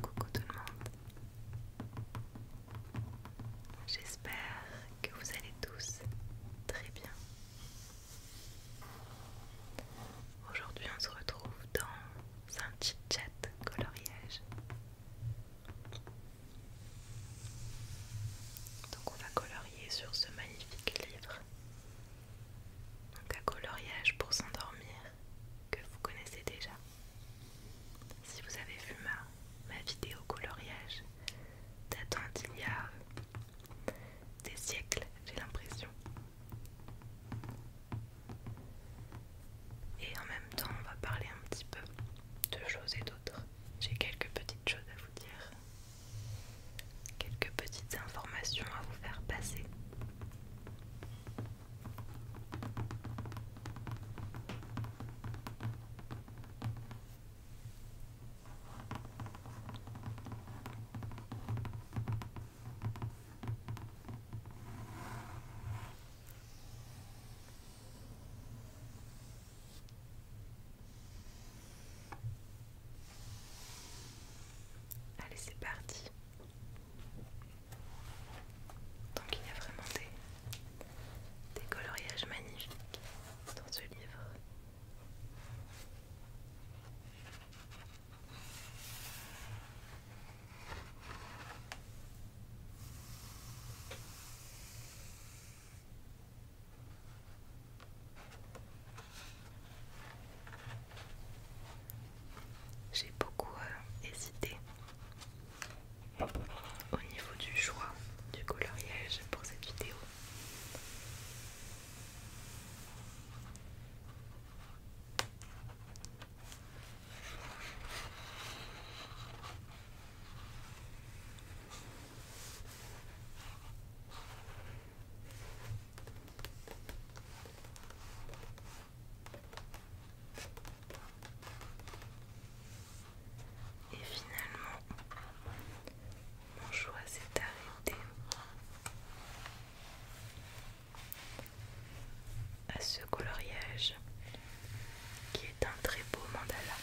Coucou tout le monde. J'espère que vous allez tous très bien. Aujourd'hui, on se retrouve dans un petit chat coloriage. Donc on va colorier sur ce magnifique livre donc un coloriage pour s'endormir que vous connaissez déjà. Si vous avez vu ma, ma vidéo coloriage datant d'il y a euh, des siècles, j'ai l'impression. Et en même temps, on va parler un petit peu de choses et d'autres. J'ai quelques petites choses à vous dire Quelques petites informations à vous faire passer. Allez, c'est parti. Donc il y a vraiment des, des coloriages magnifiques dans ce livre. J'ai beaucoup euh, hésité au niveau du choix du coloriage pour cette vidéo. Et finalement, mon choix s'est arrêté à ce coloriage qui est un très beau mandala.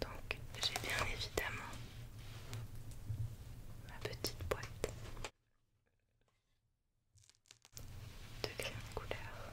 Donc j'ai bien évidemment ma petite boîte de crayons couleur.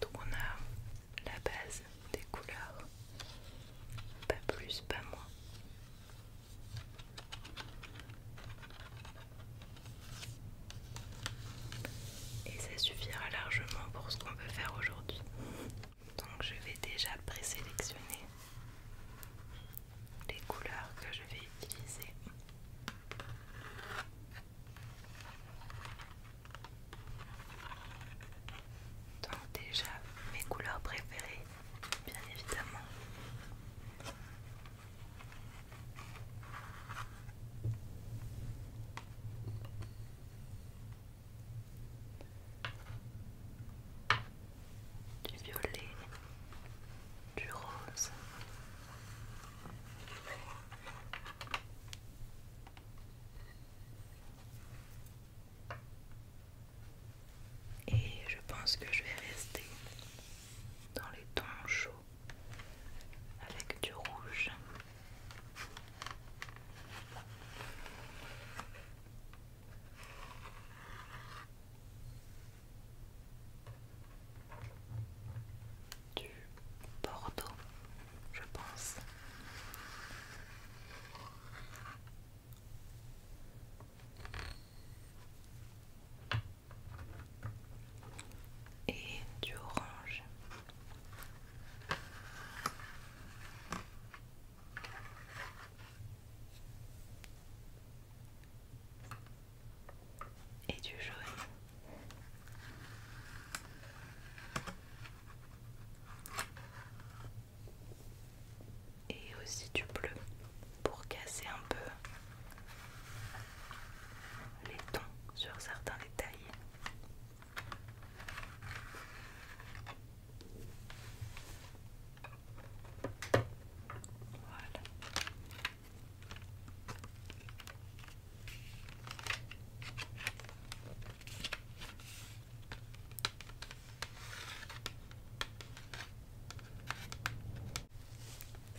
Donc on a la base des couleurs, pas plus, pas moins. Et ça suffira largement pour ce qu'on veut faire aujourd'hui. Donc je vais déjà présélectionner les couleurs que je vais utiliser. Donc déjà mes couleurs préférées, bien évidemment. Du violet, du rose, et je pense que je vais rester dans les tons chauds avec du rouge. Bordeaux, je pense. Et du orange. Et du jaune et aussi du bleu pour casser un peu les tons sur certains détails.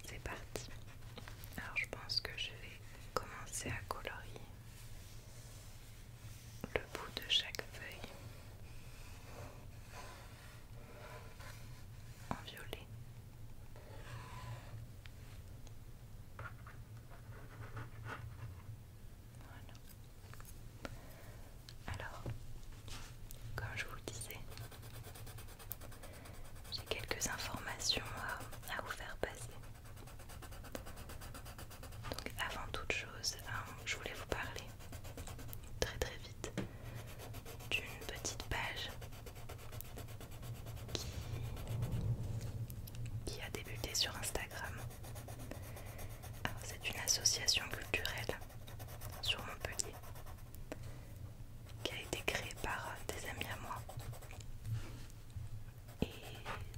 C'est parti. Alors je pense que je vais commencer à colorier le bout de chaque feuille en violet. Voilà. Alors, comme je vous le disais, j'ai quelques informations à, vous faire passer. Donc avant toute chose, hein, je voulais vous parler très très vite d'une petite page qui qui a débuté sur Instagram. C'est une association culturelle sur Montpellier qui a été créée par des amis à moi. Et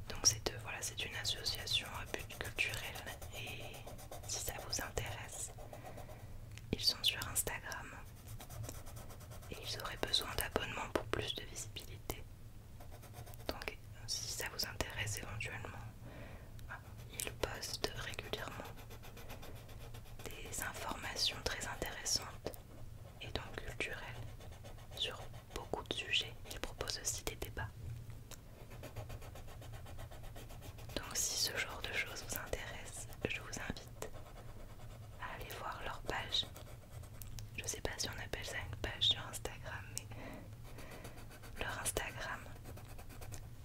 donc c'est voilà, une association à but culturel et si ça vous intéresse, ils sont sur Instagram et ils auraient besoin d'abonnements pour plus de visibilité. Donc si ça vous intéresse éventuellement, ah, ils postent régulièrement des informations très intéressantes et donc culturelles sur beaucoup de sujets. Ils proposent aussi des débats. Donc si ce genre de choses vous intéresse, je vous invite à aller voir leur page je sais pas si on appelle ça une page sur Instagram, mais leur Instagram,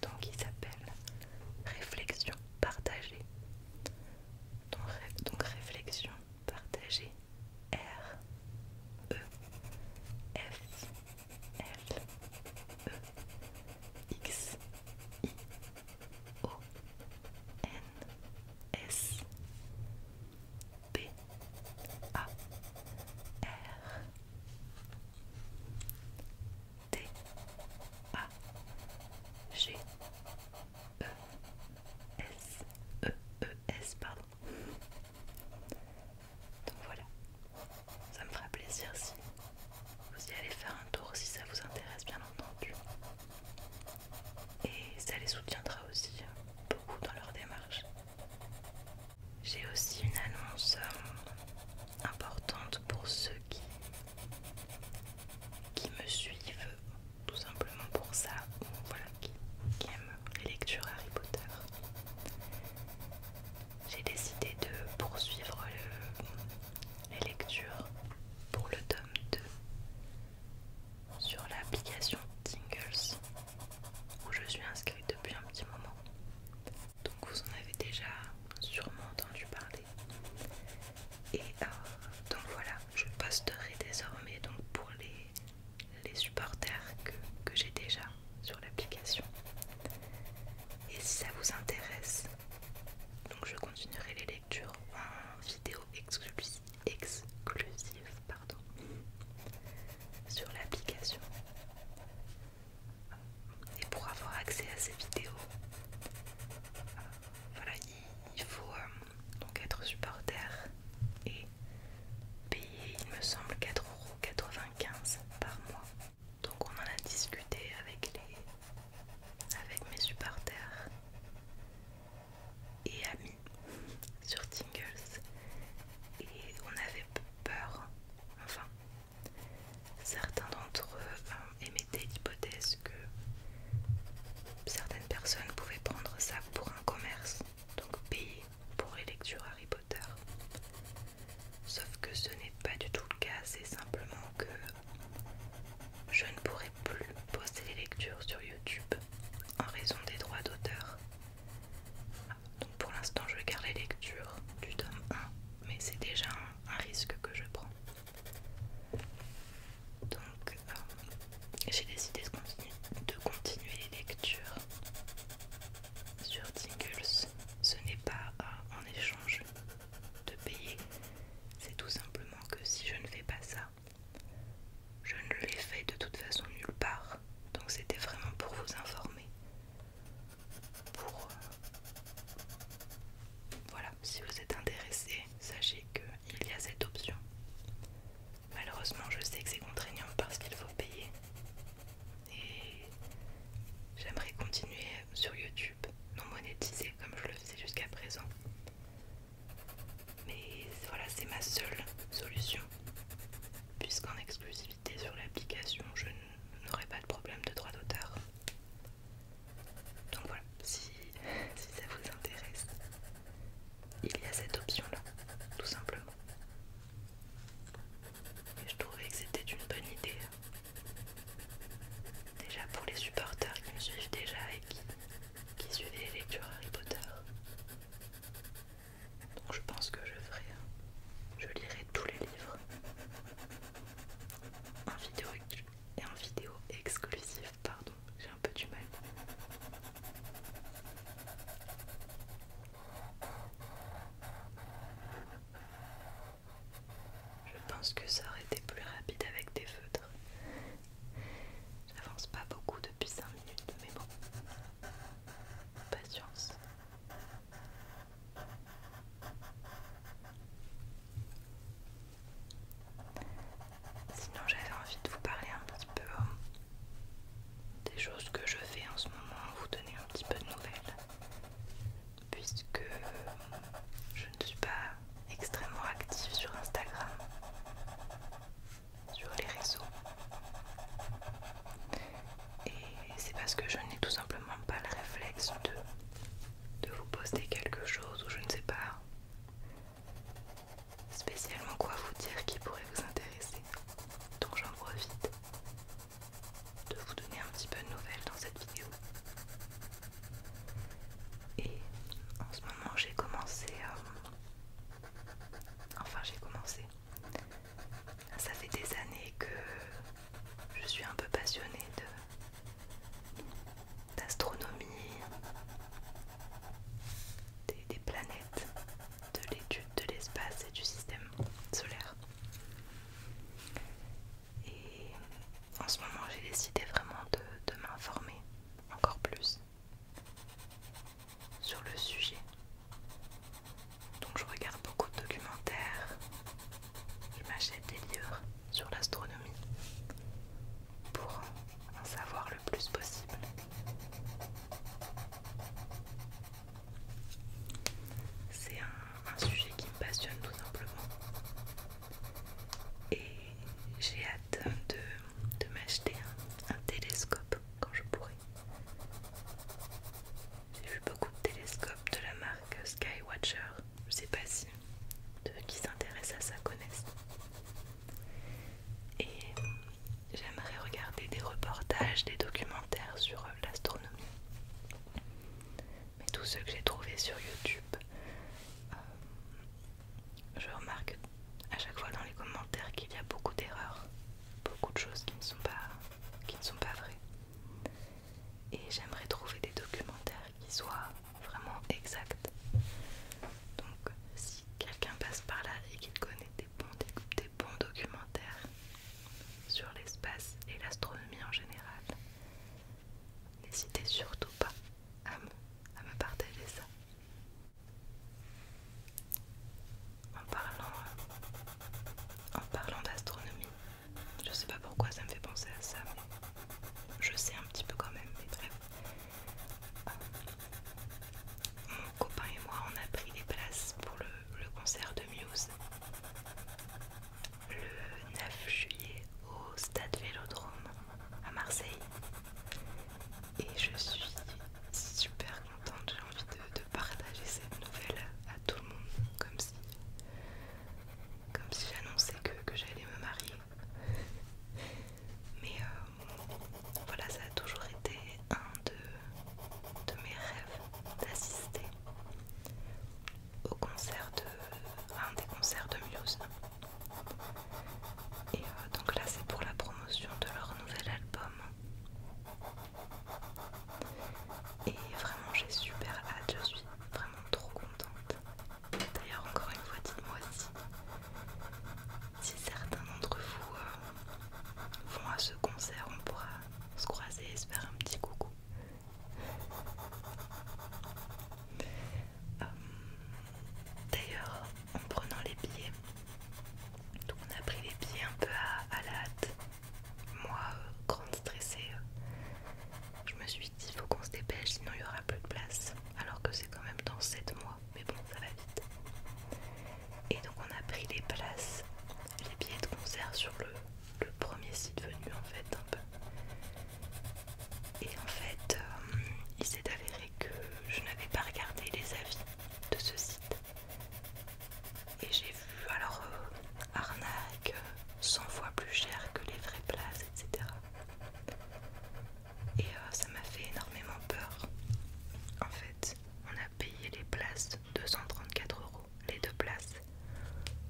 donc il s'appelle Réflexion partagée. Donc, réflexion partagée R E F L E X I O N S p A R T A G E S E E S pardon. Donc voilà. Ça me fera plaisir si vous y allez faire un tour si ça vous intéresse bien entendu. Et ça les soutiendra aussi beaucoup dans leur démarche. J'ai aussi une annonce euh, importante pour ceux qui, qui me suivent, tout simplement pour ça, ou voilà, qui, aiment les lectures Harry Potter. J'ai décidé de poursuivre les lectures pour le tome 2 sur l'application Tingles où je suis inscrite depuis un petit moment. Donc vous en avez déjà sûrement entendu parler. Et euh, donc voilà, je posterai désormais donc pour les, les supporters que, que j'ai déjà sur l'application. Et si ça vous intéresse, donc je continuerai les lectures en vidéo exclusive exclusive, pardon, sur l'application. Et pour avoir accès à ces vidéos, euh, voilà, il, faut euh, donc être supporter et payer, il me semble, 4,95€ par mois. Donc on en a discuté avec les avec mes supporters et amis sur Tingles et on avait peur, enfin certains d'entre eux euh, émettaient l'hypothèse que certaines personnes pouvaient prendre ça pour un commerce, donc payer pour les lectures Harry Potter. Sauf que ce n'est pas du tout le cas, c'est simplement que je ne pourrais plus poster les lectures sur YouTube en raison des droits d'auteur donc pour l'instant, je garde les lectures du tome 1, mais c'est déjà un, risque que je prends. Donc euh, j'ai décidé de continuer, les lectures sur Tingles. Ce n'est pas en euh, échange de payer, c'est tout simplement que si je ne fais pas ça, je ne l'ai fait de toute façon nulle part donc c'était vraiment pour vous informer pour euh, voilà si vous êtes intéressé sachez qu'il y a cette option malheureusement je sais que c'est contraignant parce qu'il faut payer et j'aimerais continuer sur youtube non monétisé comme je le faisais jusqu'à présent mais voilà, c'est ma seule solution. Puisqu'en exclusivité sur l'application, je n'aurai pas de problème de droit d'auteur. Donc voilà, si, si ça vous intéresse, il y a cette option-là, tout simplement. Et je trouvais que c'était une bonne idée. Déjà pour les supporters qui me suivent déjà et qui, qui suivaient les lectures Harry Potter. Donc je pense que je ferai, hein. je lirai tous les livres en vidéo en vidéo exclusive, pardon, j'ai un peu du mal. Je pense que ça aurait été plus rapide avec des feutres. J'avance pas beaucoup depuis 5 minutes, mais bon patience. Sinon j'avais envie de vous parler un petit peu hein, des choses que je fais en ce moment, vous donner un petit peu de nouvelles, puisque euh, je ne suis pas extrêmement active sur Instagram sur les réseaux. Et c'est parce que je n'ai tout simplement pas le réflexe de, de vous poster quelque chose ou je ne sais pas spécialement quoi vous dire qui pourrait vous intéresser. Donc j'en profite de vous donner un petit peu de nouvelles dans cette vidéo. Et en ce moment j'ai commencé euh, Enfin j'ai commencé. Ça fait des années que je suis un peu passionnée d'astronomie, des, planètes, de l'étude de l'espace et du système solaire. Et en ce moment, j'ai décidé vraiment de m'informer encore plus sur le sujet. Donc je regarde beaucoup de documentaires, je m'achète des livres sur l'astronomie pour en savoir le plus possible. C'est un, sujet qui me passionne tout simplement et j'ai hâte de, m'acheter un télescope quand je pourrai. J'ai vu beaucoup de télescopes de la marque Skywatcher. Je sais pas si ceux qui s'intéressent à ça connaissent. Et j'aimerais regarder des reportages, des documentaires sur l'astronomie. Mais tous ceux que j'ai trouvés sur YouTube, euh, je remarque à chaque fois dans les commentaires qu'il y a beaucoup d'erreurs beaucoup de choses qui ne sont pas, qui ne sont pas vraies. Et j'aimerais trouver des documentaires qui soient vraiment exacts. Donc si quelqu'un passe par là et qu'il connaît des bons, documentaires sur l'espace et l'astronomie en général, n'hésitez surtout pas à à me partager ça. En parlant, euh, en parlant d'astronomie, je sais pas pourquoi ça me fait penser à ça, mais je sais un petit peu quand même, bref. Euh, mon copain et moi, on a pris des places pour le, le concert de Muse le 9 juillet au stade Vélodrome à Marseille et je suis super contente, j'ai envie de, partager cette nouvelle à, tout le monde, comme si, comme si j'annonçais que, j'allais me marier. Mais euh, voilà, ça a toujours été un de, mes rêves d'assister au concert de, à un des concerts de Muse. Et euh, donc là, c'est pour la promotion de leur nouvel album. Et vraiment, j'ai super hâte, je suis vraiment trop contente. D'ailleurs, encore une fois, dites-moi si, si certains d'entre vous euh, vont à ce concert, on pourra se croiser et se faire un petit coucou. Euh, d'ailleurs, en prenant les billets, donc on a pris les pieds un peu à, la hâte. Moi, euh, grande stressée, euh, je me suis dit faut qu'on se dépêche, sinon il n'y aura plus de place. Alors que c'est quand même dans 7 mois, mais bon, ça va vite. Et donc on a pris les places, les billets de concert sur le, premier site venu en fait Et en fait, euh, il s'est avéré que je n'avais pas regardé les avis de ce site. Et j'ai vu alors euh, arnaque 100 euh, fois plus cher que les vraies places, etc. Et euh, ça m'a fait énormément peur. En fait, on a payé les places 234 euros, les deux places,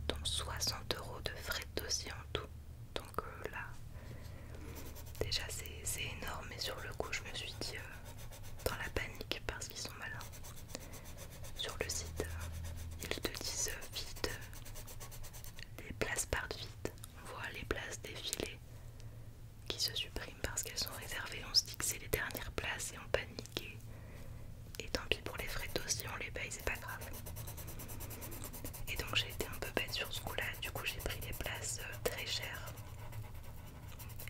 dont 60 euros de frais de dossier en tout. Donc là, déjà c'est énorme, et sur le coup, je me suis dit, dans la panique parce qu'ils sont malins. Sur le site, ils te disent vite les places partent vite. On voit les places défiler qui se suppriment parce qu'elles sont réservées. On se dit que c'est les dernières places et on panique. Et, tant pis pour les frais de si on les paye, c'est pas grave. Et donc j'ai été un peu bête sur ce coup-là. Du coup, j'ai pris des places euh, très chères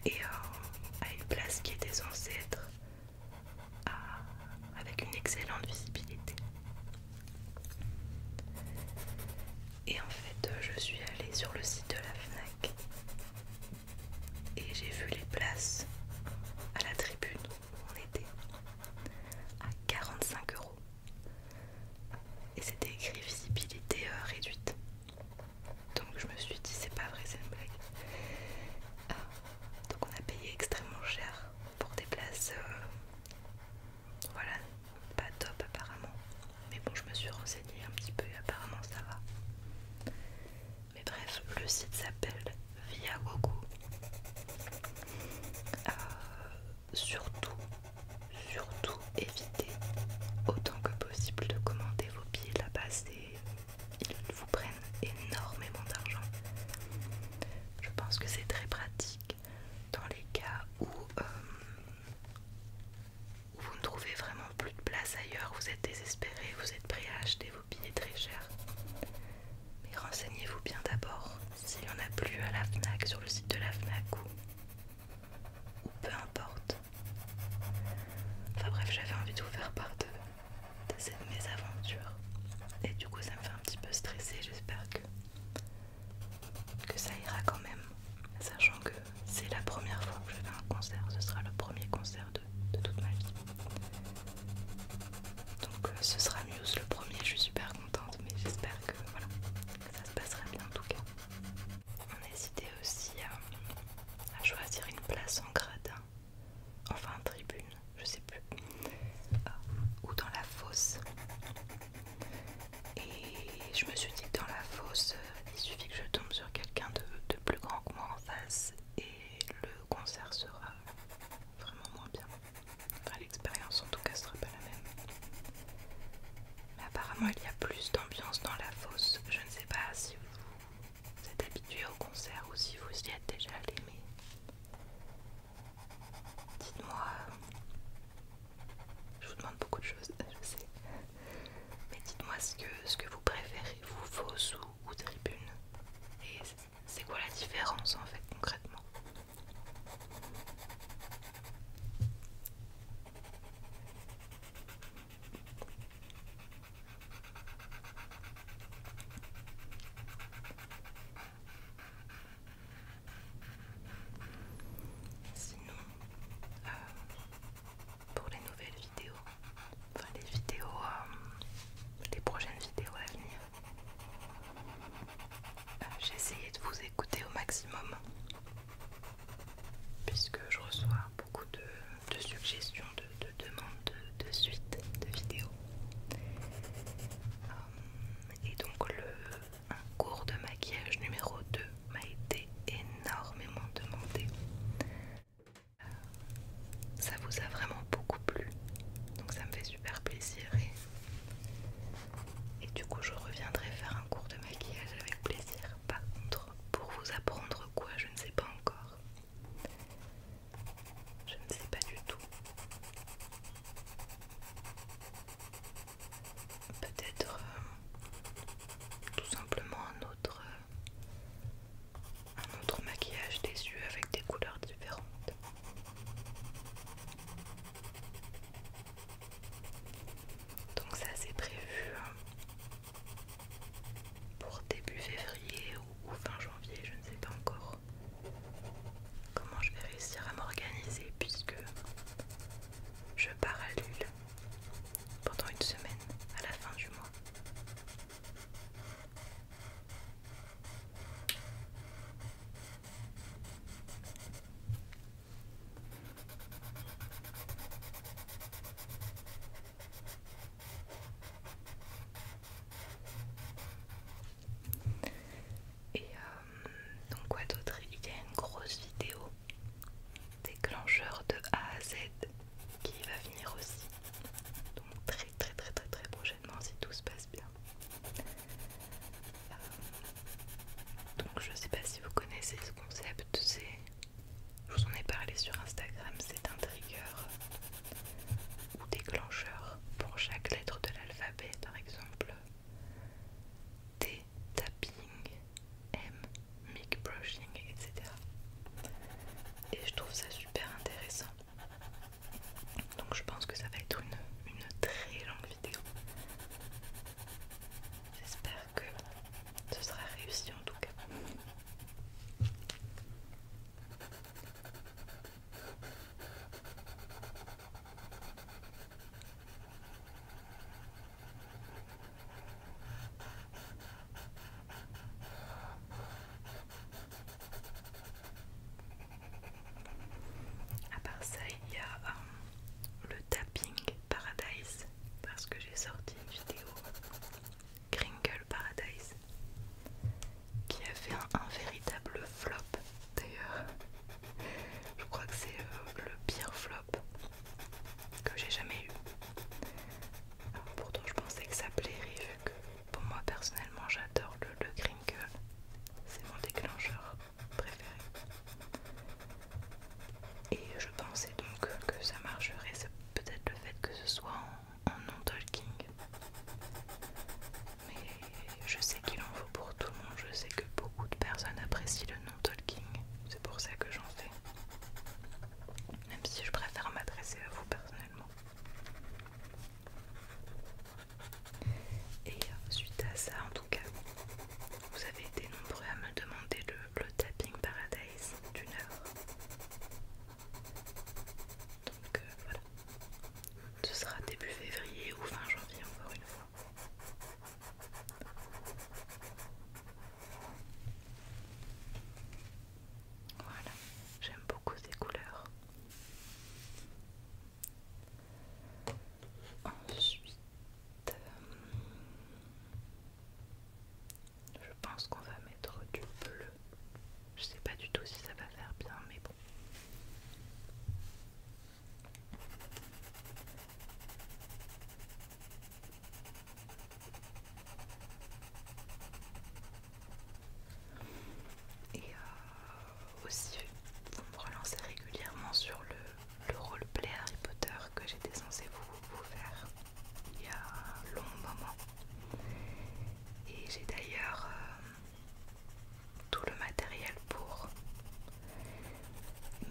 et euh, à une place qui est des ancêtres, avec une excellente visibilité. Et en fait, euh, je suis allée sur le site de la FNAC et j'ai vu les places à la tribune où on était à 45 euros. Et c'était écrit visibilité euh, réduite. Donc je me suis dit c'est pas vrai, c'est une blague. Ah, donc on a payé extrêmement cher pour des places, euh, voilà, pas top apparemment. Mais bon, je me suis renseignée un petit peu et apparemment ça va. Mais bref, le site s'appelle Via Goku euh, surtout, surtout évitez autant que possible de commander vos pieds là-bas. C'est ils vous prennent énormément d'argent. Je pense que c'est très pratique dans les cas euh, où, vous ne trouvez vraiment plus de place ailleurs, vous êtes désespéré, vous êtes prêt à acheter vos billets très chers. Mais renseignez-vous bien d'abord s'il n'y en a plus à la FNAC, sur le site de la FNAC ou peu importe. Enfin bref, j'avais envie de vous faire part de, cette mésaventure. Et du coup, ça me fait un petit peu stresser. J'espère que, que ça ira quand même. Sachant que c'est la première fois que je fais un concert. Ce sera le premier concert de, toute ma vie. Donc euh, ce sera mieux le premier. Je suis super contente. Mais j'espère que, voilà, que ça se passera bien en tout cas. On hésité aussi à, choisir une place en gradin, enfin en tribune, je sais plus, ah, ou dans la fosse. Et je me suis dit que dans la fosse, euh, il suffit que je tombe sur quelqu'un de, plus grand que moi en face et le concert sera vraiment moins bien. l'expérience en tout cas sera pas la même. Mais apparemment, il y a plus d'ambiance dans la fosse. Je ne sais pas si vous vous êtes habitué au concert ou si vous y êtes déjà allé, mais dites-moi, je vous demande beaucoup de choses, je sais, mais dites-moi ce que, ce que vous préférez, vous, vos ou tribune, et c'est quoi la différence en fait concrètement Sinon, euh, pour les nouvelles vidéos, enfin les vidéos, euh, les prochaines vidéos à venir, euh, j'ai essayé de vous écouter au maximum puisque je reçois beaucoup de, suggestions, de, demandes de, suites de vidéos. Euh, et donc le, un cours de maquillage numéro 2 m'a été énormément demandé. Euh, ça vous a vraiment beaucoup plu, donc ça me fait super plaisir. et du coup, je reviendrai faire un cours de maquillage avec plaisir. Par contre, pour vous apprendre quoi, je ne sais pas encore. Je ne sais pas du tout. Peut-être euh, tout simplement un autre, euh, un autre maquillage des yeux avec des couleurs différentes. Donc ça c'est prévu hein pour début février ou, fin janvier, je ne sais pas encore comment je vais réussir à m'organiser puisque je pars à l'île pendant une semaine à la fin du mois. Et euh, donc quoi d'autre Il y a une grosse vidéo déclencheur de A à Z qui va venir aussi. Donc très très très très très prochainement si tout se passe bien. Euh, donc je sais pas si vous connaissez ce concept, c'est je vous en ai parlé sur Instagram, c'est un trigger ou déclencheur pour chaque lettre de l'alphabet, par exemple T, tapping, M, mic brushing, etc. Et je trouve ça super intéressant. Donc je pense que ça va être une, une très longue vidéo. J'espère que ce sera réussi en tout cas. À part ça, il y a euh, le tapping paradise parce que j'ai sorti une vidéo Kringle Paradise qui a fait un, véritable flop d'ailleurs. Je crois que c'est euh, le, pire flop que j'ai jamais eu. pourtant je pensais que ça plairait vu que pour moi personnellement j'adore le, le C'est mon déclencheur préféré. Et je pensais donc que ça marcherait. peut-être le fait que ce soit en en, non-talking. Mais je sais qu'il en vaut pour tout le monde, je sais que beaucoup de personnes apprécient le non-talking, c'est pour ça que j'en fais. Même si je préfère m'adresser à vous personnellement. Et suite à ça, en tout cas, vous avez été nombreux à me demander le, le tapping paradise d'une heure. Donc euh, voilà, ce sera début février ou fin janvier encore une fois. Voilà, j'aime beaucoup ces couleurs. Ensuite, euh, je pense qu'on va mettre du bleu. Je sais pas du tout si ça va faire bien, mais bon. Et euh, aussi, vous me relancez régulièrement sur le, roleplay Harry Potter que j'étais censée vous, vous faire il y a un long moment. Et j'ai d'ailleurs euh, tout le matériel pour.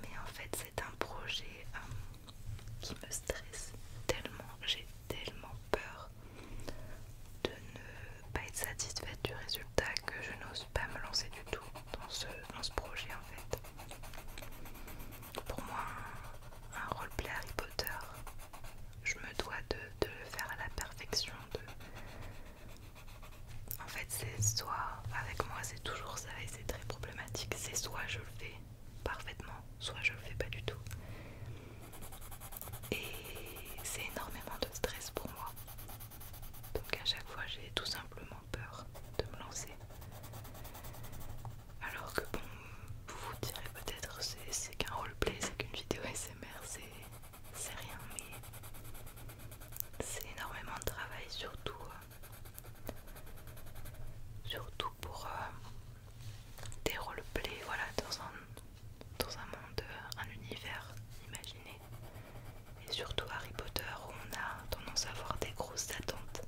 Mais en fait c'est un projet euh, qui me stresse tellement, j'ai tellement peur de ne pas être satisfaite du résultat que je n'ose pas me lancer du tout dans ce, projet en fait. Pour moi, un, un roleplay Harry Potter, je me dois de, le faire à la perfection. En fait, c'est soit avec moi, c'est toujours ça et c'est très problématique. C'est soit je le fais parfaitement, soit je le fais pas du tout. Et c'est énormément de stress pour moi. Donc à chaque fois, j'ai tout simplement peur de me lancer. Alors que bon, vous vous direz peut-être c'est qu'un roleplay, c'est qu'une vidéo SMR, c'est rien, mais c'est énormément de travail, surtout, euh, surtout pour euh, des roleplays, voilà, dans un, dans un monde, euh, un univers imaginé. Et surtout Harry Potter où on a tendance à avoir des grosses attentes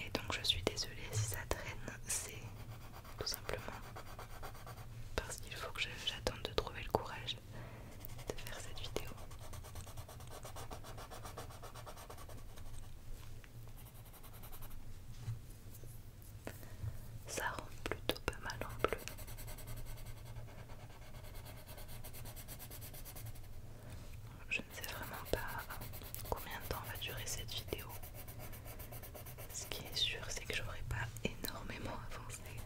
et donc je suis désolée si ça traîne, c'est tout simplement parce qu'il faut que j'attende de trouver le courage de faire cette vidéo. Ça rend plutôt pas mal en bleu je ne sais vraiment pas combien de temps va durer cette vidéo. Ce qui est sûr, c'est que je n'aurai pas énormément avancé.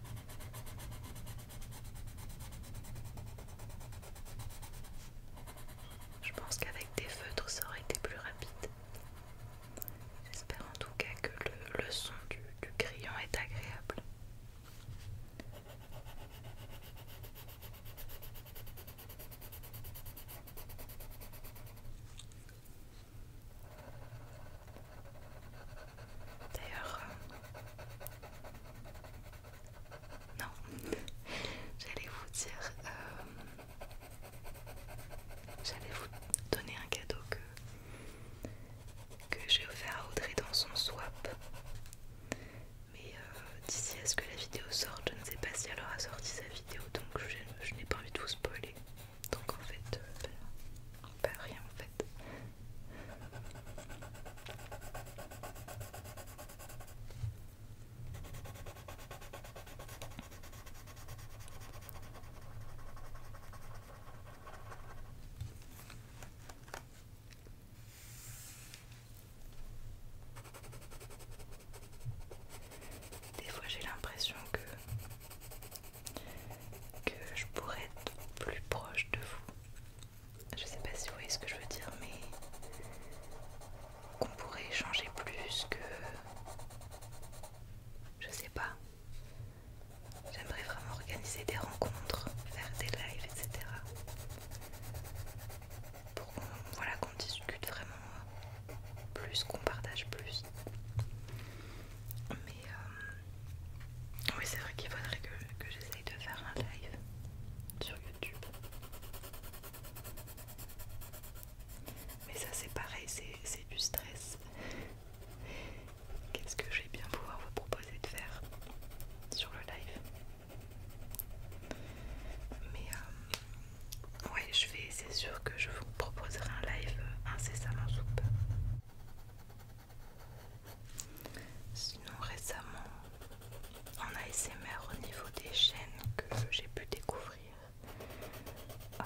Je pense qu'avec des feutres, ça aurait été plus rapide. J'espère en tout cas que le, son du, du crayon est agréable. D'ailleurs, euh, non, j'allais vous dire, euh, j'allais vous donner un cadeau que que j'ai offert à Audrey dans son swap. Mais euh, d'ici à ce que la vidéo sorte, je ne sais pas si elle aura sorti sa vidéo donc je, n'ai pas envie de vous spoiler. Donc en fait, pas euh, ben, ben, rien en fait. Des fois j'ai l'impression que, que je pourrais être plus proche de vous. Je sais pas si vous voyez ce que je veux dire, mais qu'on pourrait échanger plus que... Je sais pas. J'aimerais vraiment organiser des rencontres, faire des lives, etc pour qu'on voilà, qu'on discute vraiment plus, qu'on partage plus. Mais euh, oui, c'est vrai qu'il faudrait que, que j'essaye de faire un live sur YouTube. Mais ça c'est pareil, c'est du stress. Qu'est-ce que je vais bien pouvoir vous proposer de faire sur le live Mais euh, oui, je vais, c'est sûr que je vous proposerai un live incessamment soupe. Sinon, récemment, en ASMR au niveau des chaînes que j'ai pu découvrir, euh,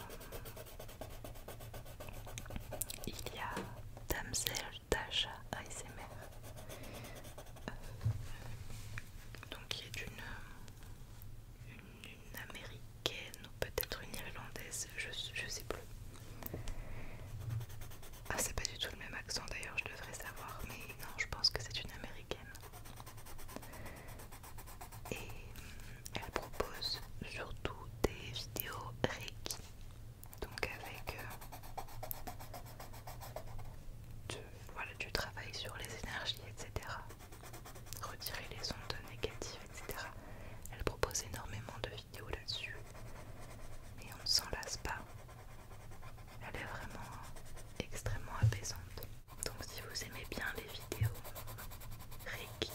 il y a Damsel Tasha ASMR, euh, Donc, donc y est une une américaine ou peut-être une irlandaise, je, je sais plus. Ah, c'est pas du tout le même accent d'ailleurs, je devrais savoir, mais non, je pense que c'est une américaine. Et mm, elle propose surtout des vidéos Reiki, donc avec euh, du travail sur les énergies, etc retirer les ondes négatives, etc. Elle propose énormément de vidéos là-dessus. Et on ne s'en lasse pas. Elle est vraiment extrêmement apaisante. Donc si vous aimez bien les vidéos Reiki,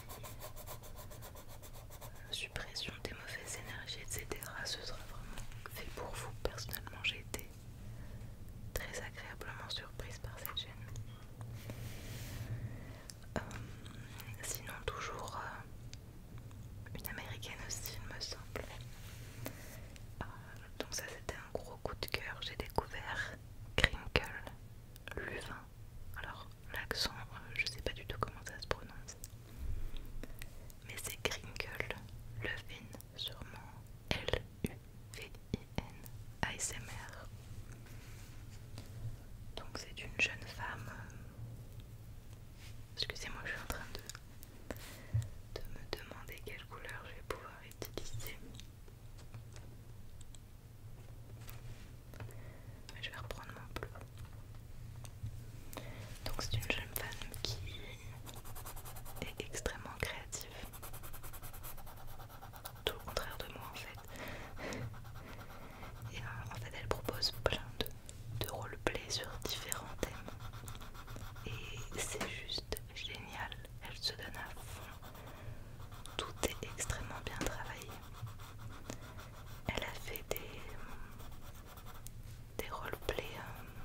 suppression des mauvaises énergies, etc. Ce sera vraiment fait pour vous. Personnellement, j'ai été très agréablement surprise par cette chaîne. Euh, sinon toujours euh, une américaine aussi il me semble. Euh, donc ça c'était un gros coup de cœur. J'ai découvert Crinkle Luvin. Alors l'accent je sais pas du tout comment ça se prononce. Mais c'est Crinkle Levin sûrement L-U. V-I-N r Donc c'est une jeune femme. Excusez-moi, je suis en train de, de me demander quelle couleur je vais pouvoir utiliser. Je vais reprendre mon bleu. Donc c'est une jeune femme qui est extrêmement créative tout le contraire de moi en fait. Et euh, en fait, elle propose plein de, de sur différents thèmes. Et c'est juste génial. Elle se donne à fond. Tout est extrêmement bien travaillé. Elle a fait des, des roleplays. Euh,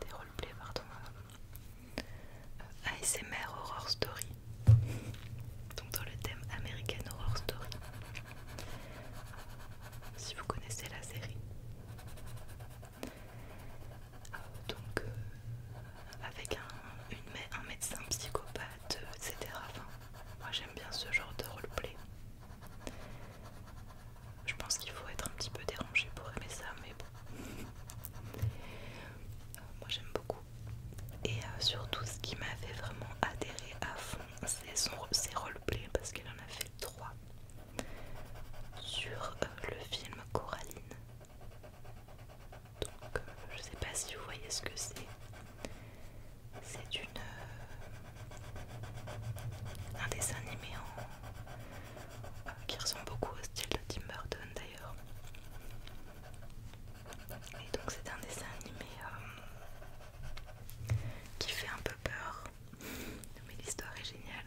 des roleplays pardon euh, ASMR Horror Story donc dans le thème American Horror Story euh, si vous connaissez la série euh, donc avec un, médecin psychopathe etc moi j'aime bien ce genre de roleplay je pense qu'il faut être un petit peu dérangé pour aimer ça, mais bon. Euh, moi j'aime beaucoup. Et euh, surtout, ce qui m'avait vraiment adhéré à fond, c'est ses roleplays parce qu'elle en a fait trois sur euh, le film Coraline. Donc, je sais pas si vous voyez ce que c'est. C'est une. un dessin animé en qui ressemble beaucoup au style de Tim Burton d'ailleurs. Et donc c'est un dessin animé euh, qui fait un peu peur, mais l'histoire est géniale.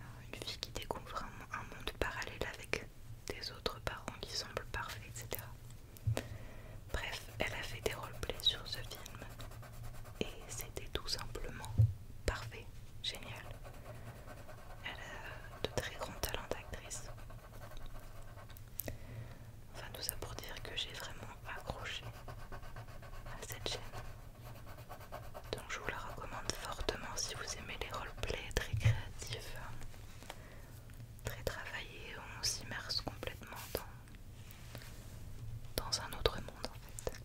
Euh, une fille qui découvre un, monde parallèle avec des autres parents qui semblent parfaits, etc. Bref, elle a fait des roleplays sur ce film et c'était tout simplement parfait, génial. Elle a de très grands talents d'actrice. Enfin, tout ça pour dire que j'ai vraiment accroché à cette chaîne. Donc, je vous la recommande fortement si vous aimez les roleplays très créatifs, hein. très travaillés, où on s'immerse complètement dans, dans un autre monde en fait.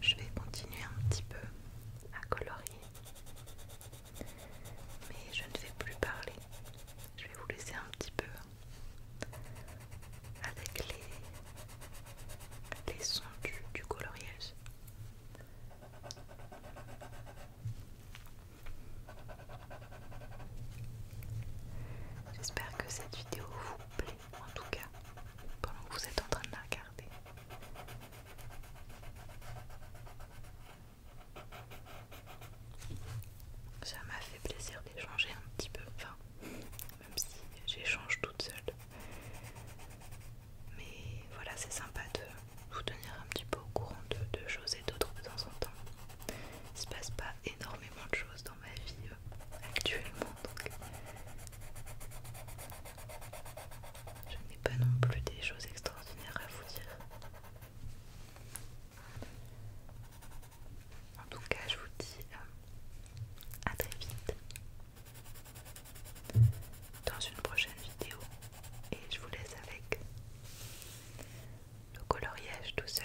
Je vais continuer un petit peu à colorier, mais je ne vais plus parler. Je vais vous laisser un petit peu avec les, sons du, colorieuse. J'espère que cette vidéo vous plaît, en tout cas, pendant que vous êtes en train de la regarder. Ça m'a fait plaisir d'échanger un petit peu, enfin, même si j'échange toute seule. Mais voilà, c'est sympa de vous tenir un petit peu au courant de, choses et d'autres de temps en temps. Il se passe pas énormément de choses dans ma vie euh, actuellement, donc je n'ai pas non plus des choses extraordinaires à vous dire. En tout cas, je vous dis euh, à très vite dans une prochaine vidéo et je vous laisse avec le coloriage tout seul.